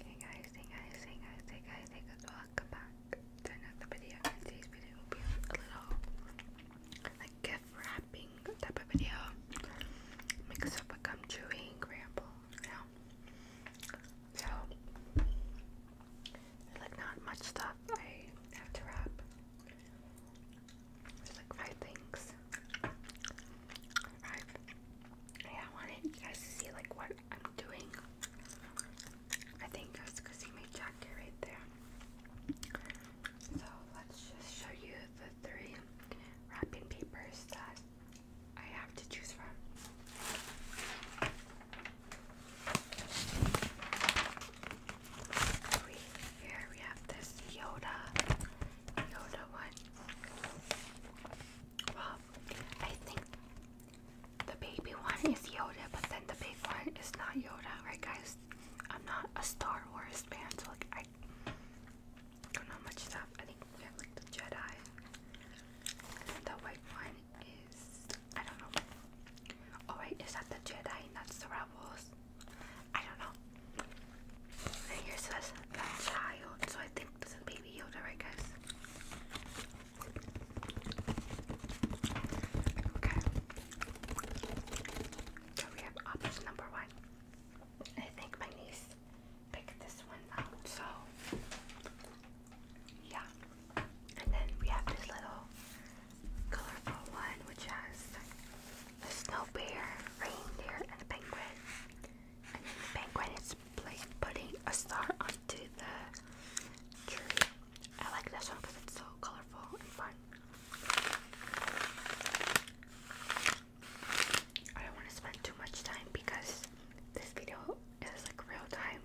Hey guys, hey guys, hey guys, hey guys, welcome back to another video. today's video will be a little like gift wrapping type of video. Mix up a gum chewing ramble, you know. So like not much stuff I have to wrap. There's like five things. Five. Yeah, I wanted you guys to see like what I'm doing. I think that's because see my jacket right there. So let's just show you the three wrapping papers that I have to choose from. here we have this Yoda, Yoda one. Well, I think the baby one is Yoda, but then the big one is not Yoda, right, guys? I'm not a Star Wars fan, so like I don't know much stuff. I think we have like the Jedi. And the white one is I don't know. Oh wait, is that the Jedi? That's the Rebels. I don't know. And here says the child, so I think this is Baby Yoda, right, guys? Okay. So we have option number one. I think my niece picked this one out, so yeah. And then we have this little colorful one, which has a snow bear, reindeer, and a penguin. And then the penguin is putting a star onto the tree. I like this one because it's so colorful and fun. I don't want to spend too much time because this video is like real time.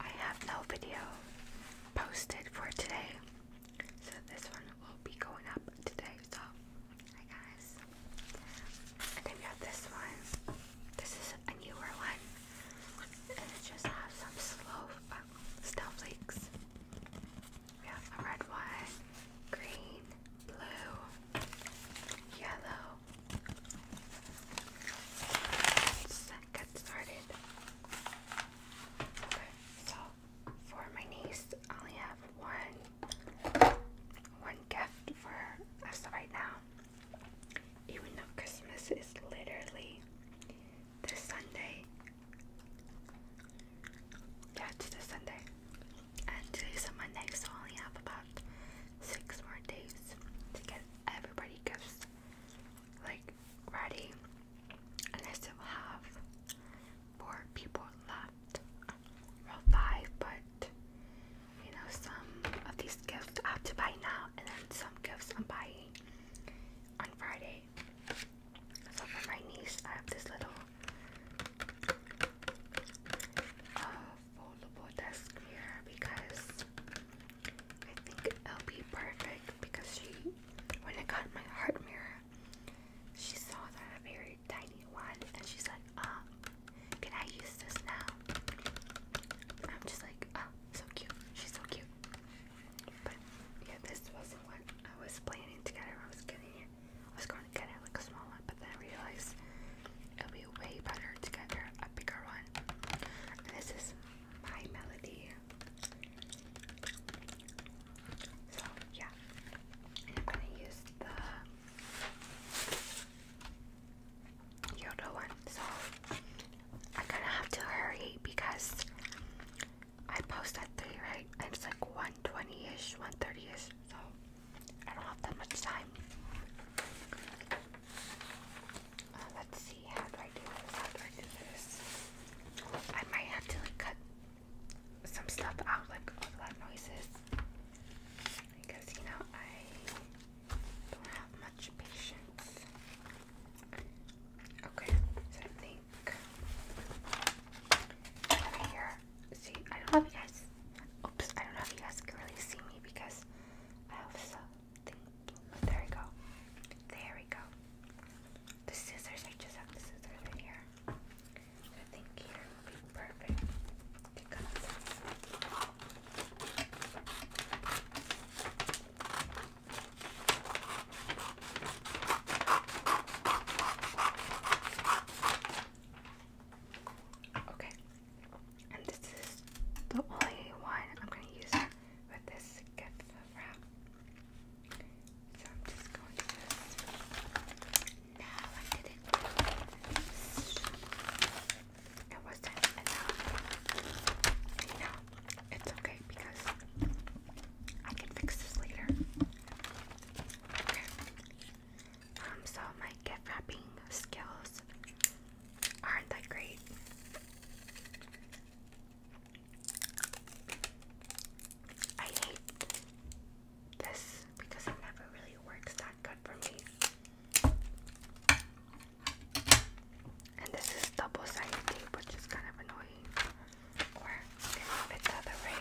I have no video posted for today. So this one will be going up today. So hi guys. And then we have this one. This is a newer one. And it just has some slow uh, snowflakes. We have a red one, green, blue, yellow. Let's get started. Okay, so for my niece. I only have one one gift for us right now. Even though Christmas is literally this Sunday. Yeah, it's this Sunday. And today's a Monday, so I only have about six more days to get everybody gifts like ready unless it will have four people left. Well, five, but you know, some of these gifts I have to buy now, and then some gifts I'm buying on Friday. So for my niece, I have this little foldable desk mirror because I think it'll be perfect because she, when I got my heart mirror, she saw that a very tiny one and she's like, um, can I use this now? I'm just like, oh, so cute. She's so cute. But yeah, this wasn't what I was planning to get I was getting it. I was going to get her like a small one, but then I realized it will be way better to get a bigger one. this is my melody. So yeah, I'm gonna use the Yodo one. So I kind of have to hurry because I post at three, right? And it's like 120-ish, 130-ish. So I don't have that much time. Uh, let's see. I do might have to like cut some stuff out, like all the loud noises, because you know I don't have much patience. Okay, so I think over here. See, I don't know if you guys. Oops, I don't know if you guys can really see me because I have so there we go. There we go. The scissors, I just have the scissors right here. I think here would be perfect Okay, and this is the only one I'm going to use with this gift. So I'm just going to just. No, I did it. It wasn't No, it's okay because I can fix this later. Okay. Um, so my gift wrapping skills aren't that great. I hate this because it never really works that good for me. And this is double sided tape, which is kind of annoying. Or can it the other way.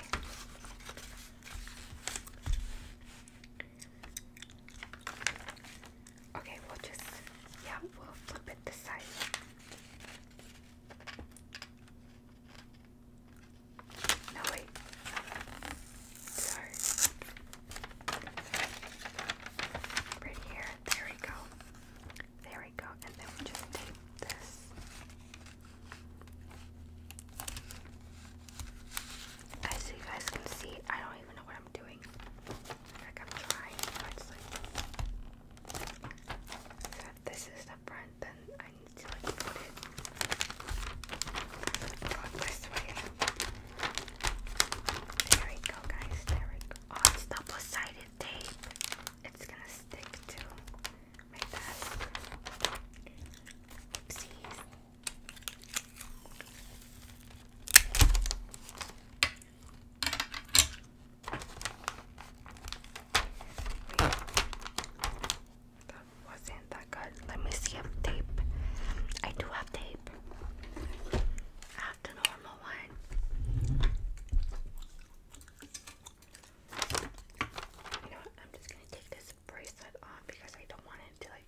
Okay, we'll just, yeah, we'll flip it this side. No, wait. Sorry. Right here. There we go. There we go. And then we just tape this. As you guys can see, I don't even know what I'm doing. I'm trying, but it's like if this is the front, then I need to like put it this way. There we go, guys. There we go. Oh, it's double-sided tape. It's gonna stick to my desk. Oopsies. That wasn't that good. Let me see if tape. I do have tape. I have the normal one. You know what? I'm just gonna take this bracelet off because I don't want it to like.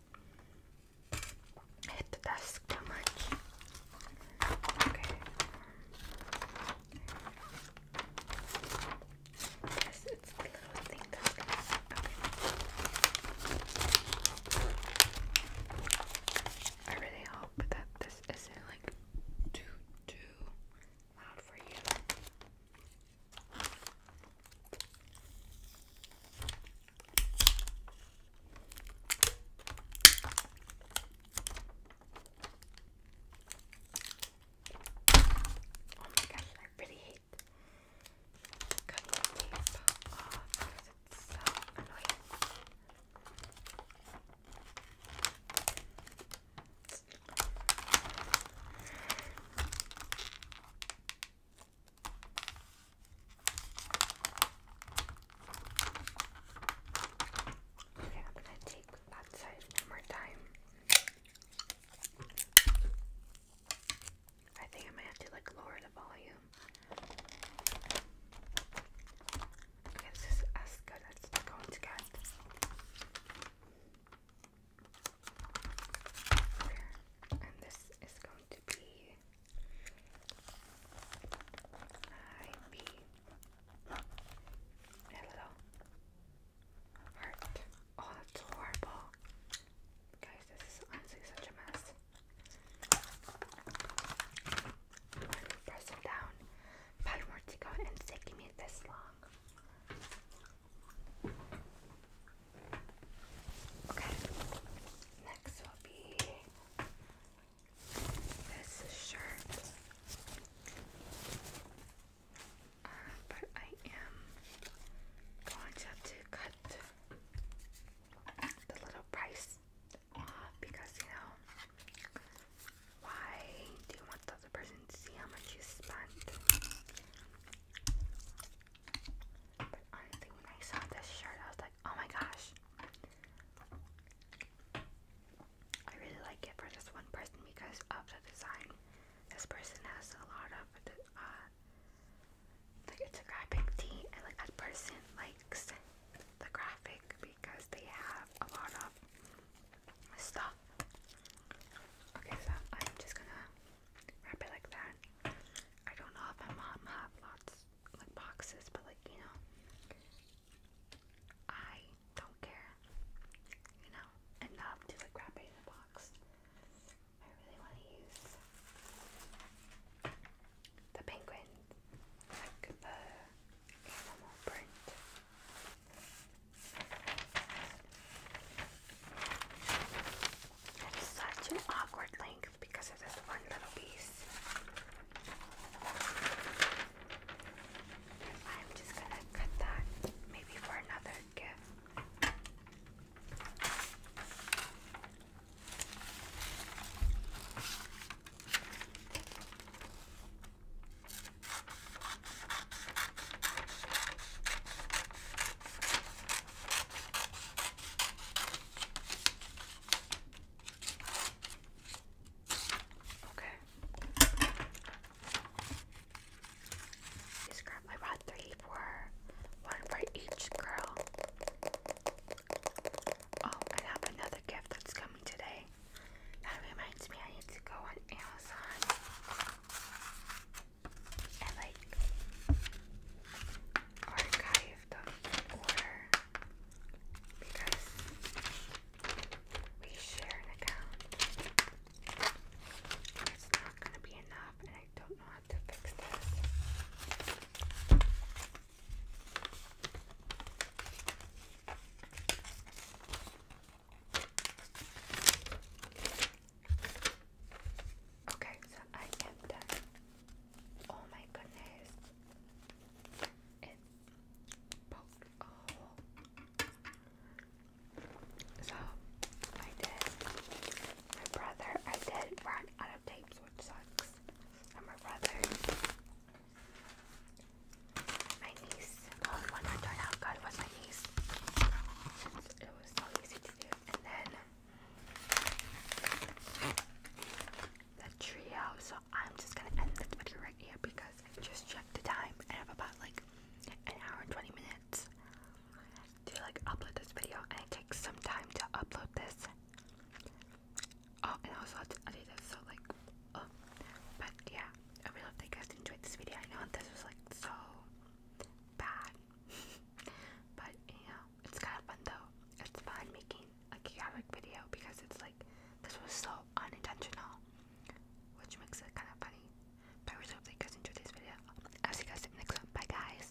I hit the desk too much. Okay. Yes, it's the little thing I really hope that this isn't like too too loud for you. Oh my gosh, I really hate cutting tape off because it's so annoying. Okay, I'm gonna take that side one more time. I think I might have to like lower the volume. this is as good as it's going to get and this is going to be IP hello heart. Oh, that's horrible, guys. This is honestly such a mess. Press them down. Palmortico and taking me this long. Okay, next will be this shirt. Uh, but I am going to have to cut the little price off because you know why do you want the other person to see how much you spent? But honestly, when I saw this shirt, I was like, oh my gosh. I really like it for this one person because of the design. This person has a lot of uh, like it's a graphic tee, and like that person likes the graphic because they have a lot of stuff. Okay, so I'm just gonna wrap it like that. I don't know if my mom has lots like boxes, but like you know, I don't care, you know, enough to like wrap it in a box. I really want to use the penguin, like the animal print. That is such an awkward length because of this one little piece. I'm just gonna cut that maybe for another gift. Okay. These girl, I bought three for for each girl. Oh, I have another gift that's coming today. That reminds me, I need to go on Amazon I like archive them because we share an account. It's not going to be enough, and I don't know how to fix this. Okay, so I am done. Oh my goodness. Oh. So I did my brother I did run out of tapes which sucks. And my brother my niece. Oh, when I turned was my niece. It was so easy to do. And then the trio. So I'm just gonna end this video right here because I just checked the time. I have about like an hour and 20 minutes to like upload this video, and it takes some time to upload this. Oh, and also I did this, so like Oh, but yeah, I really hope that you guys enjoyed this video. I know this was like so bad, but you know, it's kind of fun though. It's fun making a chaotic video because it's like this was so unintentional, which makes it kind of funny. But I really hope that you guys enjoyed this video. I'll see you guys next one. Bye, guys.